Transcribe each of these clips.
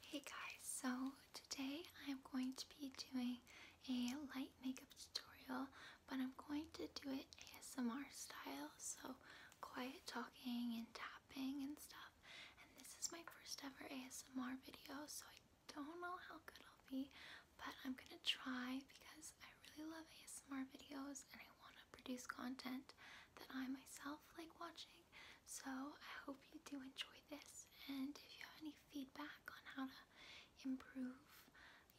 Hey guys, so today I'm going to be doing a light makeup tutorial, but I'm going to do it ASMR style, so quiet talking and tapping and stuff. And this is my first ever ASMR video, so I don't know how good I'll be, but I'm gonna try because I really love ASMR videos and I want to produce content that I myself like watching so I hope you do enjoy this, and if you have any feedback on how to improve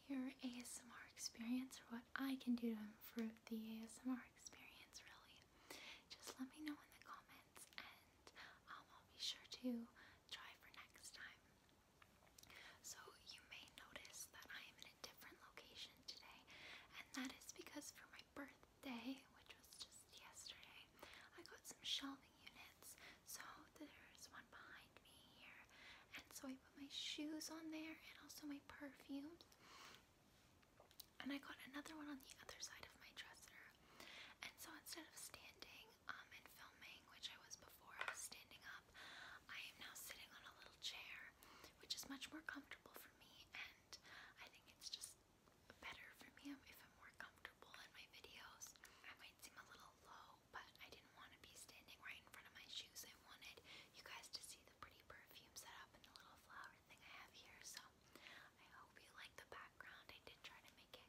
your ASMR experience or what I can do to improve the ASMR experience, really, just let me know in the comments, and um, I'll be sure to try for next time. So you may notice that I am in a different location today, and that is because for my birthday, which was just yesterday, I got some shelving units. So there's one behind me here. And so I put my shoes on there and also my perfumes. And I got another one on the other side of my dresser. And so instead of standing um, and filming, which I was before, I was standing up, I am now sitting on a little chair, which is much more comfortable for me. And I think it's just better for me if I'm more comfortable in my videos. I might seem a little low, but I didn't want to be standing right in front of my shoes. I wanted you guys to see the pretty perfume setup and the little flower thing I have here. So I hope you like the background. I did try to make it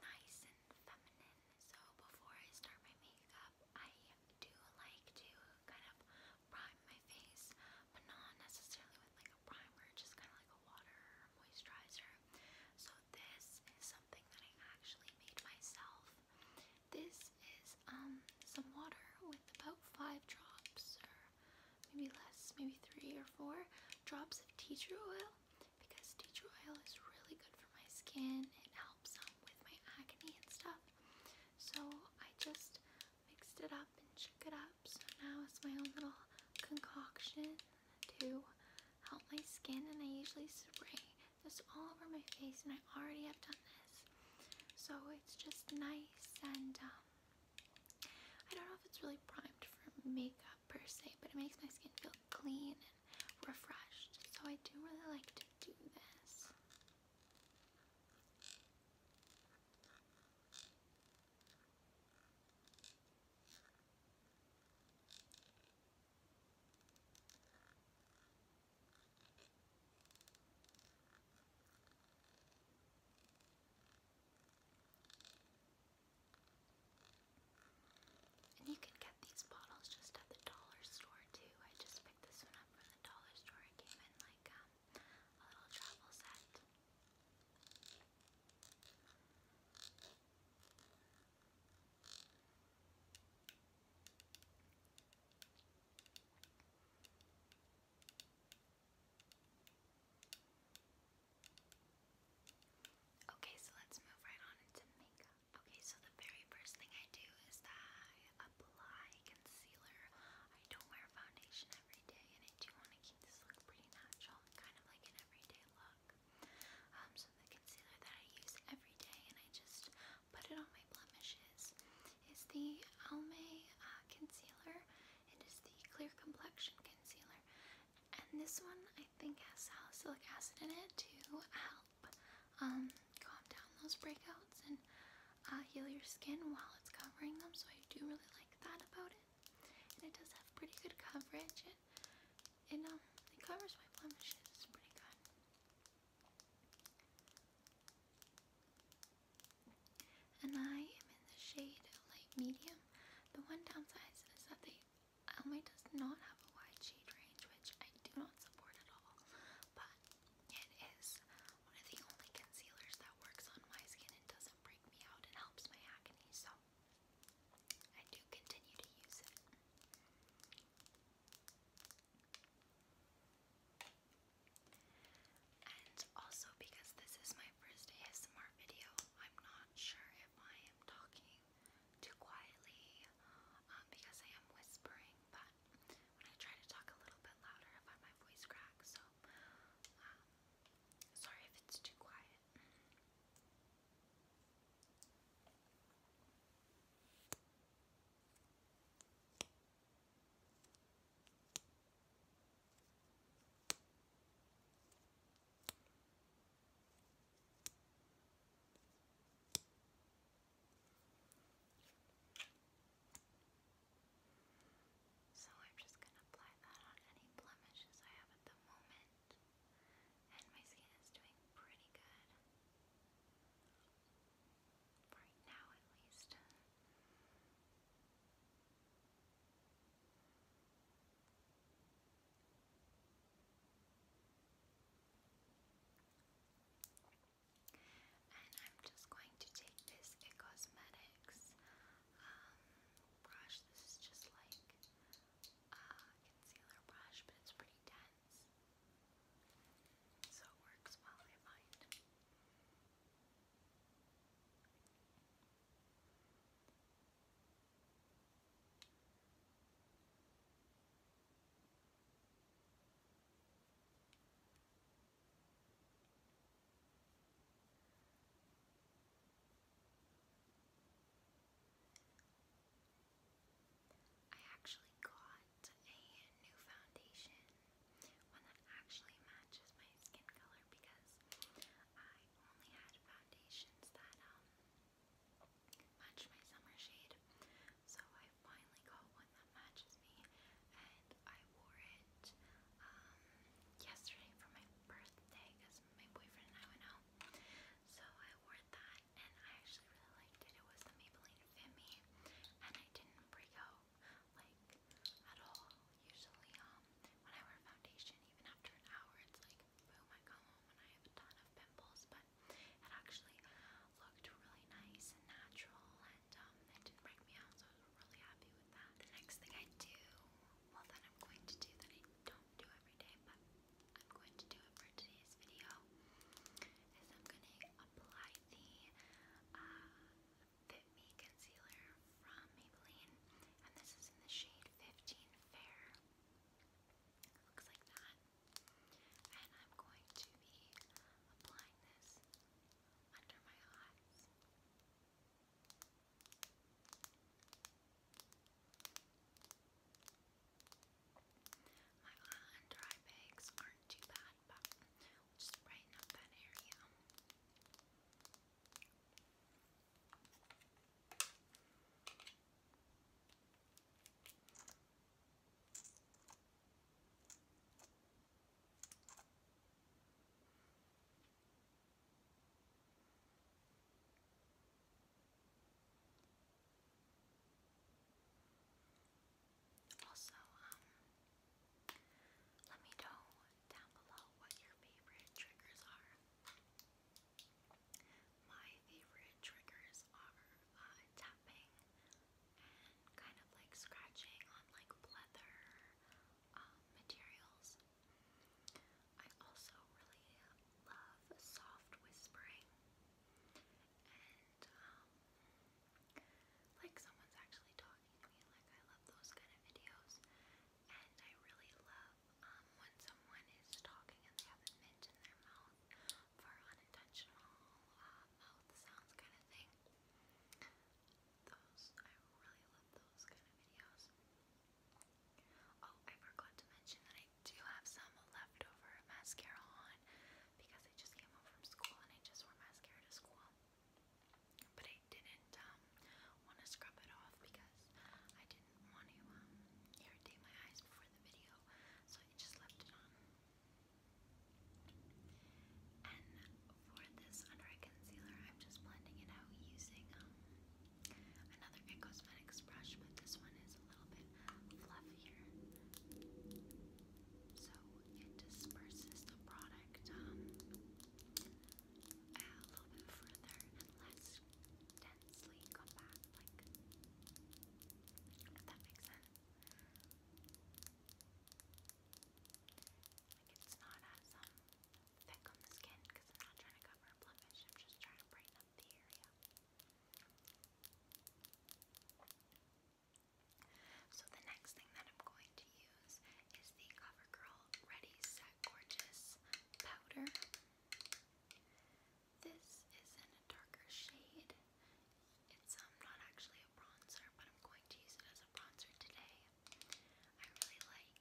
nice and feminine. So before I start my makeup, I do like to kind of prime my face but not necessarily with like a primer, just kind of like a water moisturizer. So this is something that I actually made myself. This is um, some water with about five drops or maybe less, maybe three or four drops of tea tree oil because tea tree oil is really good for my skin. It helps um, with my acne and stuff. So I just mixed it up and shook it up so now it's my own little concoction to help my skin. And I usually spray this all over my face. And I already have done this. So it's just nice. And um, I don't know if it's really primed for makeup per se. But it makes my skin feel clean and refreshed. So I do really like to do this. And you can get these bottles just at the dollar store too. I just picked this one up from the dollar store. It came in like um, a little travel set. Okay, so let's move right on into makeup. Okay, so the very first thing I do is that I apply concealer. I don't wear foundation, every day, and I do want to keep this look pretty natural kind of like an everyday look. Um, so the concealer that I use every day, and I just put it on my blemishes, is the Almay uh, concealer. It is the clear complexion concealer, and this one I think has salicylic acid in it to help um, calm down those breakouts and uh, heal your skin while it's covering them. So I do really like that about it and it does have pretty good coverage. It, um, it covers my blemishes pretty good. And I am in the shade light medium. The one downside is that they Elmay does not have a wide shade range, which I do not support at all. But it is one of the only concealers that works on my skin and doesn't break me out and helps my acne. So I do continue to use it. And also because this is my first ASMR video, I'm not sure if I am talking too quietly um, because I am whispering, but when I try to talk a little bit louder, I find my voice cracks, so um, sorry if it's too quiet. So I'm just going to apply that on any blemishes I have have at the moment, and my skin is doing pretty good. Right now, at least. And I'm just going to take this It Cosmetics um, brush. This is just like a uh, concealer brush, but it's pretty dense. So it works well, I find. I actually got a new foundation, one that actually matches my skin color because I only had foundations that um, match my summer shade. So I finally got one that matches me and I wore it um, yesterday for my birthday because my boyfriend and I went out. So I wore that and I actually really liked it. It was the Maybelline Fit Me and I didn't break out like at all. Usually um when I wear foundation even after an hour it's like boom I go home and I have a ton of pimples but it actually looked really nice and natural and um, it didn't break me out so I was really happy with that. The next thing I do well then I'm going to do that do every day, but I'm going to do it for today's video. Is I'm going to apply the uh, Fit Me concealer from Maybelline, and this is in the shade 15 Fair. looks like that, and I'm going to be applying this under my eyes. My hot and dry bags aren't too bad, but we'll just brighten up that area. Okay. Also, um, let me know down below what your favorite triggers are. My favorite triggers are uh, tapping and kind of like scratching on like leather um, materials. I also really love soft whispering and um, like someone's actually talking to me. Like I love those kind of videos, and I really love um, when someone is talking and they have a mint in their mouth for unintentional uh, mouth sounds kind of thing. Those I really love those kind of videos. Oh, I forgot to mention that I do have some leftover mascara on because I just came home from school and I just wore mascara to school. But I didn't um, want to scrub it off because I didn't want to um, irritate my eyes before the video, so I just left it on. And for this under eye concealer, I'm just blending it out using um, another It Cosmetics brush, but this one is a little bit fluffier. So it disperses the product um, a little bit further and less densely compact, like, if that makes sense. Like it's not as um thick on So the next thing that I'm going to use is the CoverGirl Ready Set Gorgeous powder. This is in a darker shade. It's um, not actually a bronzer, but I'm going to use it as a bronzer today. I really like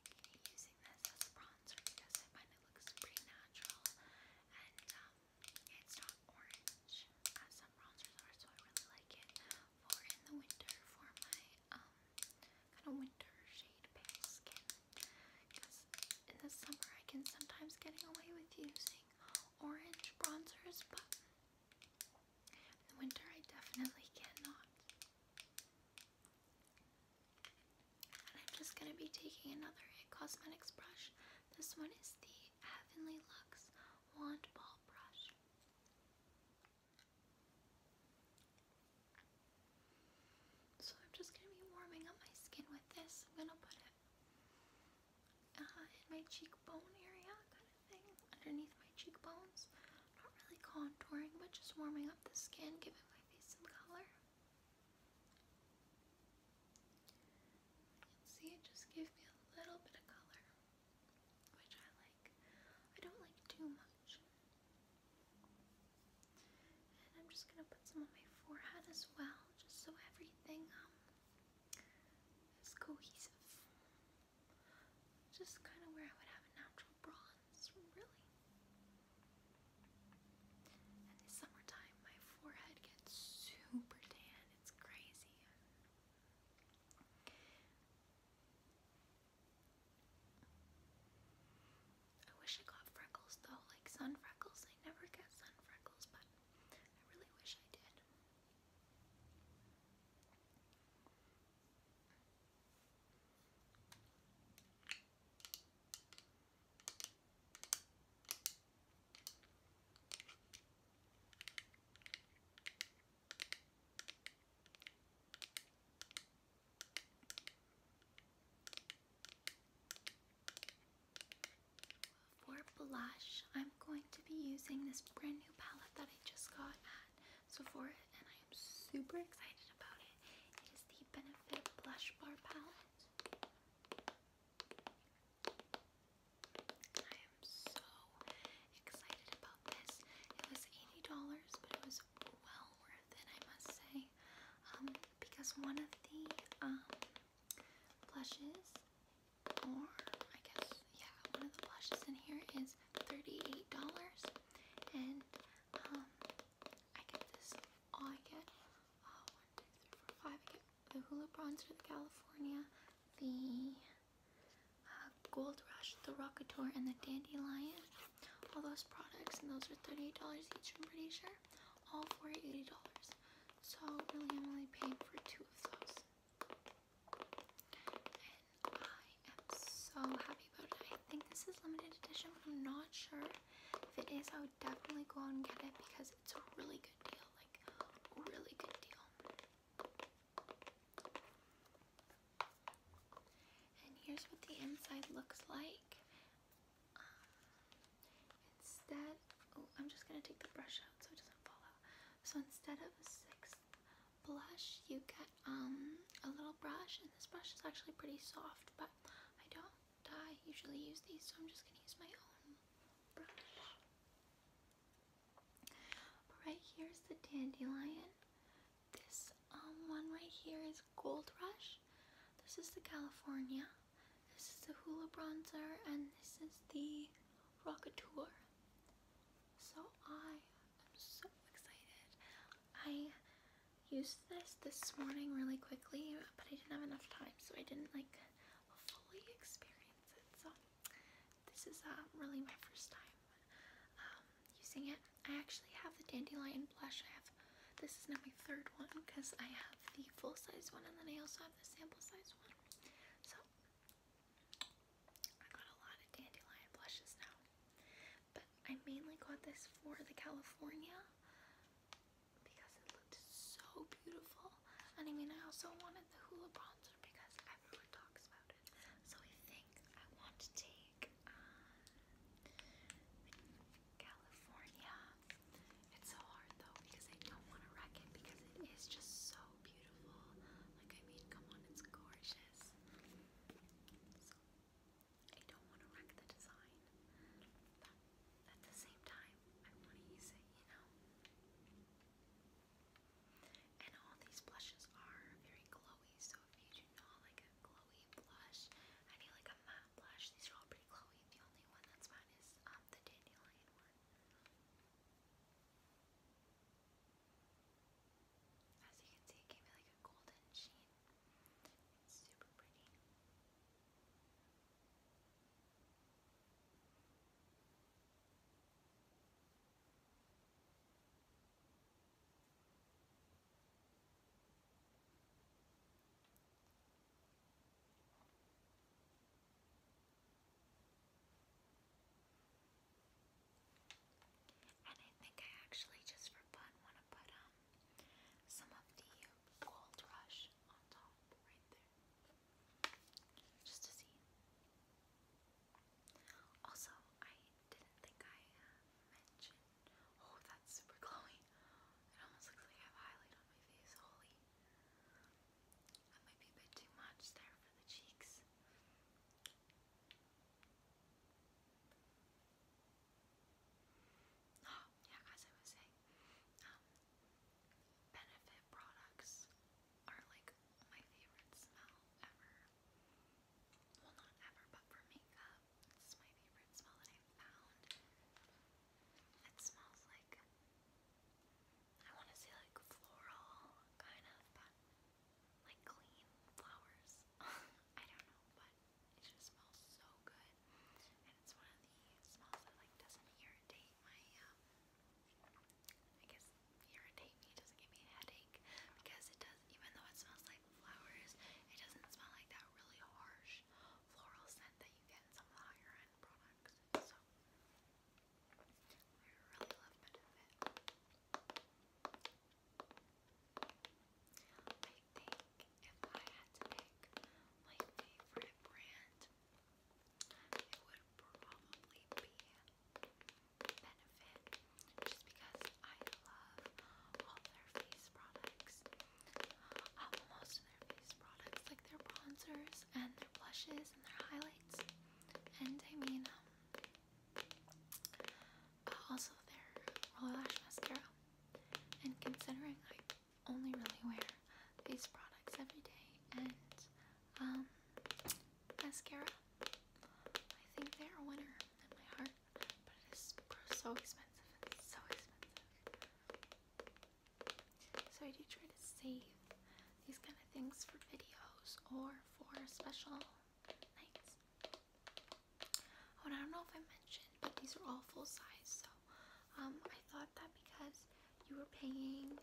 using this bronzer because I find it looks pretty natural and um, it's not orange some bronzers are, so I really like it for in the winter for my um, kind of winter shade pale skin because in the summer I can sometimes get away with using orange bronzers, but in the winter I definitely cannot. I'm just going to be taking another It Cosmetics brush. This one is the Heavenly Luxe Wand Ball Brush. So I'm just going to be warming up my skin with this. I'm going to put it uh, in my cheekbone area kind of thing, underneath my cheekbones. Not really contouring, but just warming up the skin, giving my face some color see it just gives me a little bit of color, which I like. I don't like too much. And I'm just gonna put some on my forehead as well, just so everything um is cohesive. Just kind of where I would have a natural bronze. It's really. And the summertime, my forehead gets super tan. It's crazy. I wish I got freckles though, like sun freckles. I never get sun freckles, but I really wish I did. For blush, I'm going to be using this brand new palette that I just got at Sephora, and I am super excited about it. It is the Benefit Blush Bar Palette. I am so excited about this. It was $80, but it was well worth it, I must say. Um, because one of the um, blushes, or I guess, yeah, one of the blushes in here is $38. And um, I get this. All I get, uh, one, two, three, four, five. I get the Hula Bronzer, the California, the uh, Gold Rush, the Rockator, and the Dandelion. All those products, and those are $38 each, I'm pretty sure. All for $80. So, really, I'm only paying for two of those. And I am so happy about it. I think this is limited edition, but I'm not sure. If it is, I would definitely go out and get it because it's a really good deal. Like, really good deal. And here's what the inside looks like. Um, instead, oh, I'm just gonna take the brush out so it doesn't fall out. So instead of a six blush, you get um a little brush, and this brush is actually pretty soft, but I don't I usually use these, so I'm just gonna use my own brush. right here is the dandelion. This um, one right here is Gold Rush. This is the California. This is the Hula Bronzer, and this is the Rockateur. So I am so excited. I used this this morning really quickly, but I didn't have enough time, so I didn't like fully experience it. So this is uh, really my first time um, using it. I actually have the Dandelion blush. I have this is not my third one because I have the full size one and then I also have the sample size one. So I got a lot of dandelion blushes now. I mainly got this for the California because it looked so beautiful. And I mean, I also wanted the Hoola bronzer because everyone talks about it. So I think I want to take um, California. It's so hard though because I don't want to wreck it because it is just so beautiful. Like, I mean, come on, it's gorgeous. I don't want to wreck the design, but at the same time, I want to use it, you know? And all these blushes are very glowy, so if you do not like a glowy blush, I need like a matte blush. These are all pretty glowy. The only one that's mine is um, the dandelion one. As you can see, it gave me like a golden sheen. It's super pretty. And I think I actually just for fun want gonna um some of the gold rush on top right there. Just to see. Also, I didn't think I uh, mentioned oh that's super glowy. It almost looks like I have highlight on my face, holy. That might be a bit too much there for the cheeks. Oh, yeah, as I was saying, um, Benefit products are like my favorite smell ever. Well, not ever, but for makeup, it's my favorite smell that I've found. It smells like, I want to say like floral, kind of, like clean flowers. I don't know, but god, it just smells so good. And it's one of the smells that like doesn't irritate my um I guess irritate me, it doesn't give me a headache because it does even though it smells like flowers, it doesn't smell like that really harsh floral scent that you get in some of the higher end products. So I really love Benefit. I think if I had to pick my favorite brand, it would probably be Benefit, just because I love all their face products. Um, most of their face products, like their bronzers and their blushes and their highlights, and I mean, um, uh, also their royal lash mascara. And considering I only really wear these products every day and um, mascara. I think they are a winner in my heart, but it is so expensive. so expensive. So I do try to save these kind of things for videos or for special nights. I don't know if I mentioned, but these are all full size. So um, I thought that because you were paying,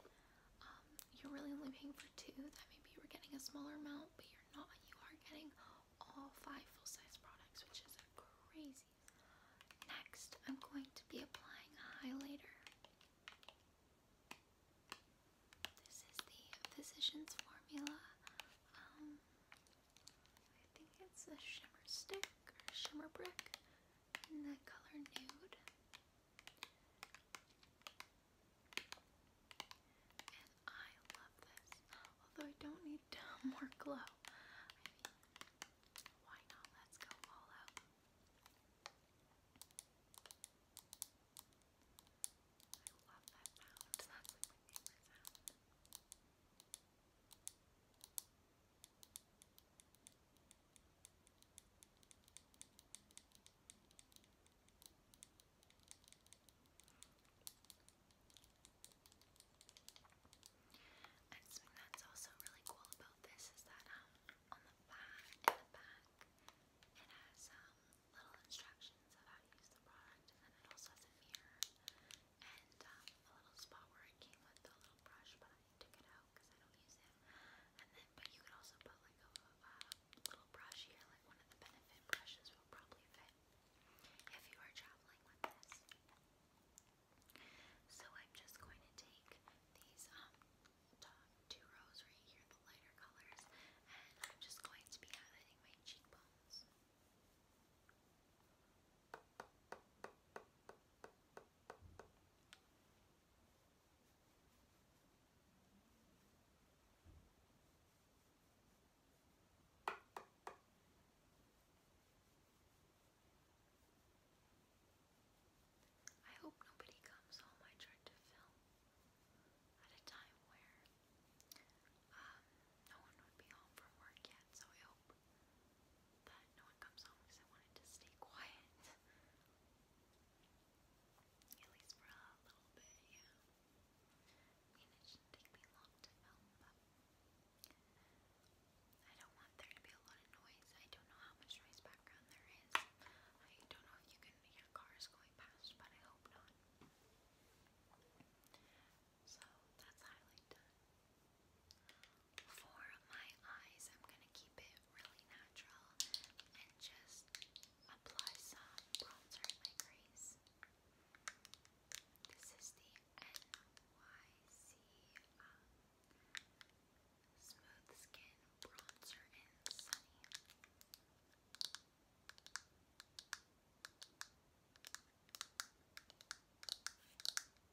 um, you're really only paying for two, that maybe you were getting a smaller amount, but you're not. You are getting all five full size products, which is crazy. Next, I'm going to be applying a highlighter. This is the Physicians Formula um, I think it's a shimmer stick or a shimmer brick in the color nude. And I love this. Although I don't need more glow. why not? Let's go all out. I love that sound. And something that's also really cool about this is that um, on the back in the back it has um, little instructions of how to use the product and then it also has a mirror and um, a little spot where it came with a little brush, but I took it out because I don't use it. And then, but you could also put like a, little brush here, like one of the Benefit brushes will probably fit if you are traveling with this. So I'm just going to take these um two rows right here, the lighter colors, and I'm just going to be highlighting my cheekbones. I hope nobody comes home. I tried to film at a time where um, no one would be home from work yet, so I hope that no one comes home because I wanted to stay quiet. At least for a little bit, yeah. it shouldn't take me long to film, but I don't want there to be a lot of noise. I don't know how much noise background there is. I don't know if you can hear cars going past, but I hope not. So that's highly done for my eyes, I'm going to keep it really natural and just apply some bronzer in crease. This is the NYC um, Smooth Skin Bronzer in Sunny.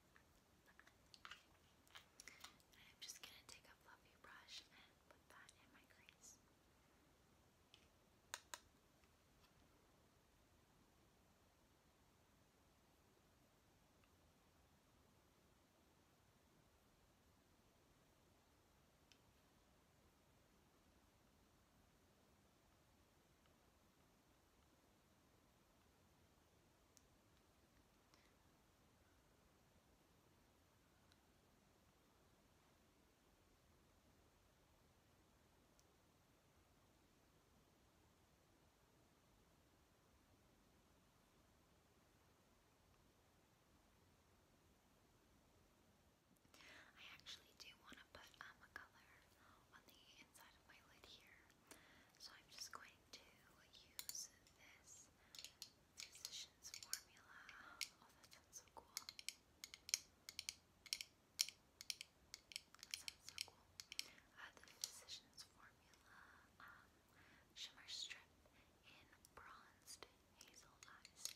And I'm just going to take a fluffy brush and put that in my crease. Okay, I actually do want to put um, color on the inside of my lid here. So I'm just going to use this physician's formula. Oh, that sounds so cool. That sounds so cool. Uh, the physician's formula um, shimmer strip in bronzed hazel eyes.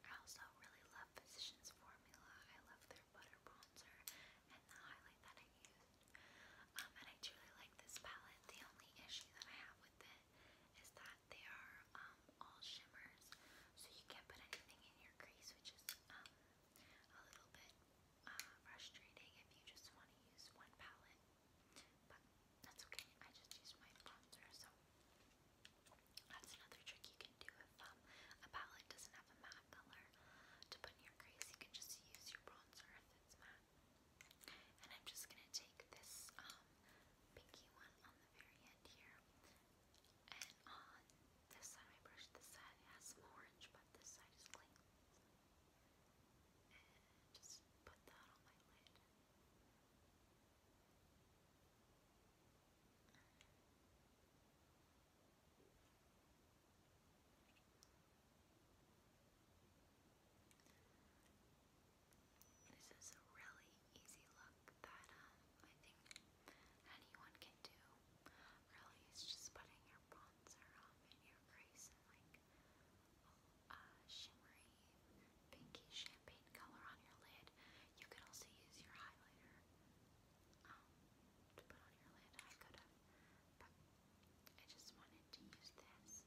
I also really love Physicians Formula. I love their butter bronzer and the highlight that I used. Um, and I truly like this palette. The only issue that I have with it is that they are um, all shimmers, so you can't put anything in your crease, which is um, a little bit uh, frustrating if you just want to use one palette, but that's okay. I just use my bronzer, so that's another trick you can do if um, a palette doesn't have a matte color to put in your crease. You can just use your bronzer if it's matte. And I'm just gonna take this um, pinky one on the very end here, and this side, I brushed this side. It has some orange, but this side is clean and just This is a really easy look that um, I think anyone can do. Really, it's just putting your bronzer um, in your crease like uh, shimmery pinky champagne color on your lid. You could also use your highlighter um, to put on your lid. I could have, but I just wanted to use this.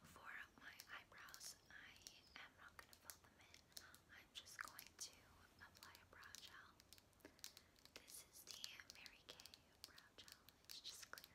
For my eyebrows, I am not going to fill them in. I'm just going to apply a brow gel. This is the Mary Kay brow gel. It's just clear.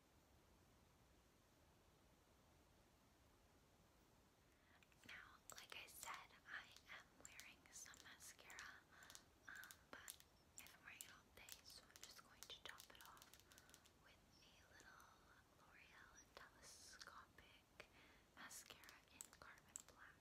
Now, like I said, I am wearing some mascara, um, but if I'm wearing it all day, so I'm just going to top it off with a little L'Oreal Telescopic Mascara in Carbon Black.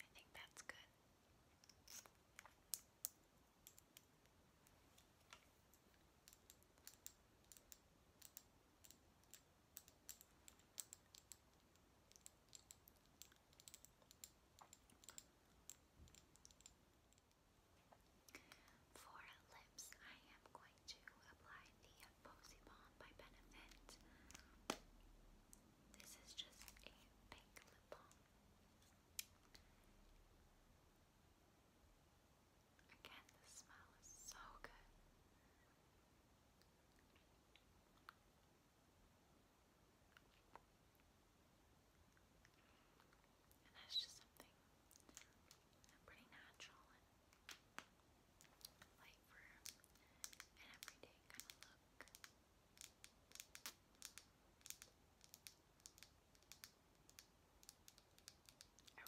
I think that's good. For lips, I am going to apply the Posy Balm by Benefit. This is just a pink lip balm. Again, the smell is so good that's just something pretty natural like for an everyday kind of look. I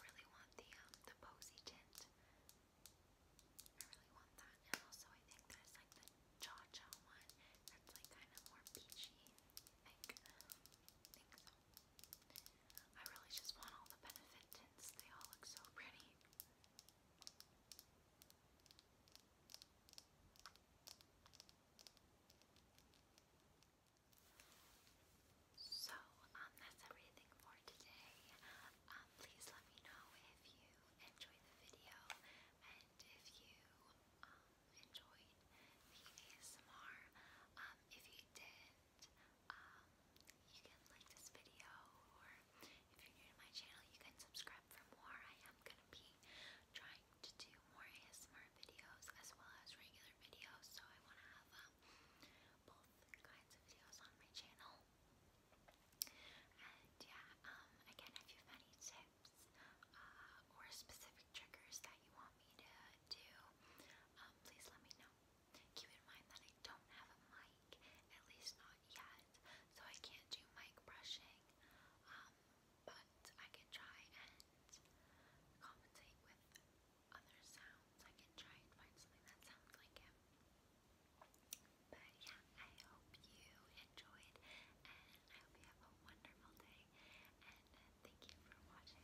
really want the um, the posy tint. I really want that, and also I think there's like the cha cha one that's like kind of more peachy. I really just want all the benefit tints. They all look so pretty. So, um, that's everything for today. Um, please let me know if you enjoyed the video and if you um, enjoyed the ASMR. Um, if you did, and um, you can like this video or if you're new to my channel you can subscribe for more. I am going to be trying to do more ASMR videos as well as regular videos so I want to have um, both kinds of videos on my channel. And yeah, um, again if you have any tips uh, or specific triggers that you want me to do, please let me know. Keep in mind that I don't have a mic, at least not yet, so I can't do mic brushing, um, but I can try and compensate with other sounds. I can try and find something that sounds like it. But yeah, I hope you enjoyed, and I hope you have a wonderful day, and thank you for watching.